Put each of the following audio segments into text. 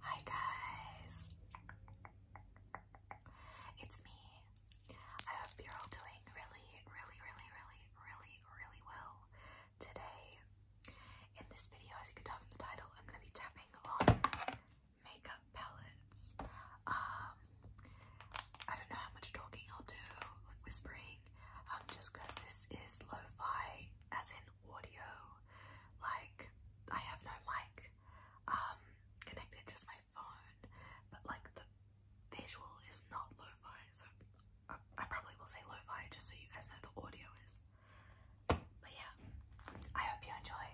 Hi guys, it's me. I hope you're all doing really, really, really, really, really, really well today. In this video, as you can tell from the title, I'm going to be tapping on makeup palettes. Um, I don't know how much talking I'll do, like whispering, um, this is lo-fi, as in audio. Like I have no mic um connected, just my phone. But like the visual is not lo-fi, so I, uh, I probably will say lo-fi just so you guys know the audio is. But yeah, I hope you enjoy.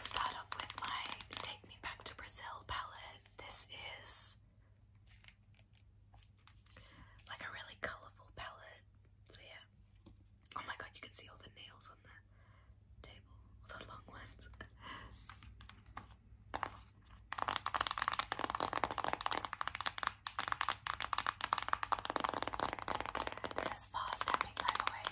Start off with my Take Me Back to Brazil palette. This is like a really colourful palette. So yeah. Oh my god, you can see all the nails on the table. All the long ones. this is fast tapping by way.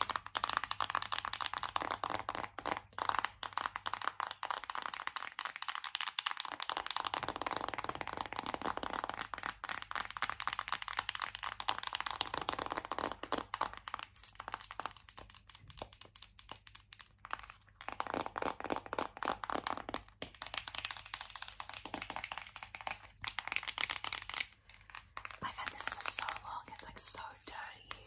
I've had this for so long, it's like so dirty.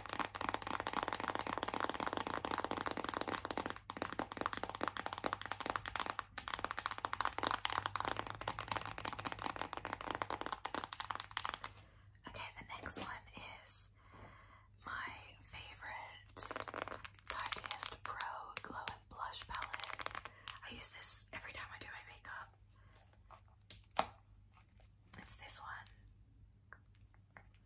Okay, the next one is my favorite Tarte Pro Glow and Blush Palette. I use this every time I do my makeup. It's this one.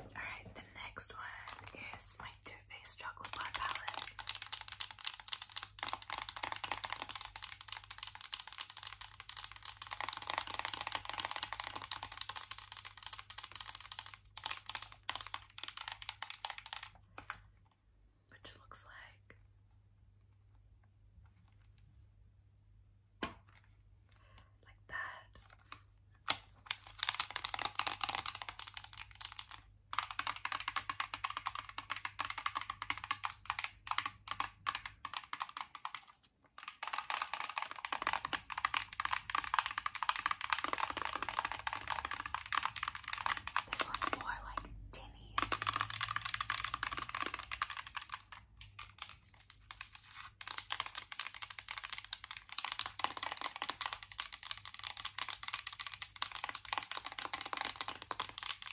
Alright, the next one is my Too Faced Chocolate Bar palette. Which looks like like that. This one's more like tinny.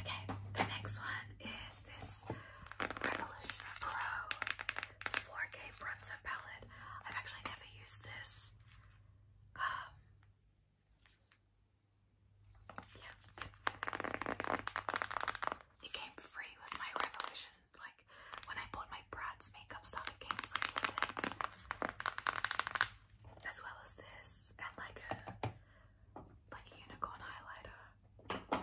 Okay, the next one is this Revolution Pro 4K bronzer palette. I've actually never used this. Um, It came free with my Revolution. Like, when I bought my Brad's makeup stuff, it came free with it as well as this, and like a like a unicorn highlighter.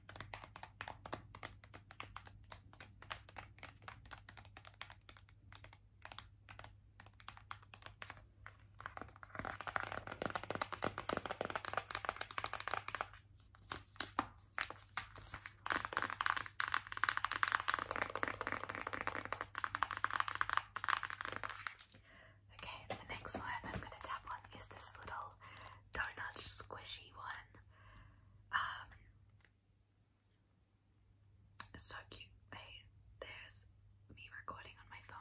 Okay, the next one I'm going to tap on is this little donut squishy one. Um, it's so cute. Hey, there's me recording on my phone.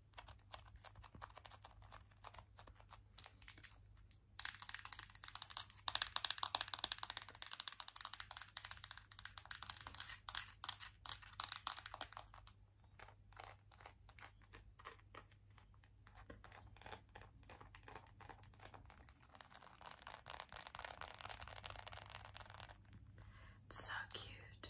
It's so cute.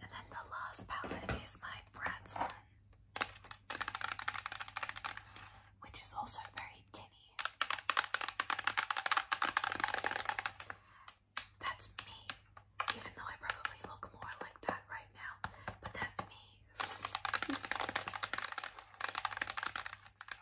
And then the last palette is my Bratz one, which is also very tinny. That's me, even though I probably look more like that right now, but that's me.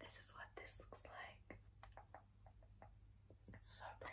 This is what this looks like. It's so pretty.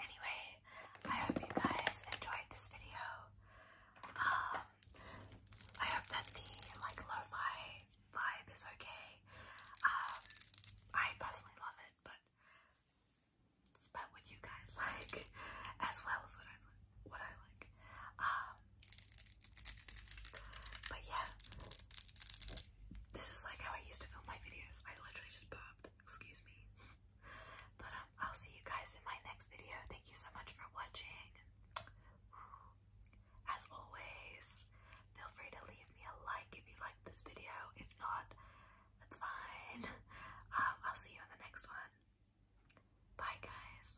Anyway, I hope you guys enjoyed this video. Um, I hope that the like lo-fi vibe is okay. Um, I personally love it, but it's what you guys like as well as what I what I like. Um but yeah this is like how I used to film my videos. I literally just burped. Excuse me. but um, I'll see you guys in my next video. Thank you so much for watching. As always, feel free to leave me a like if you liked this video. If not, that's fine. Um, I'll see you in the next one. Bye, guys.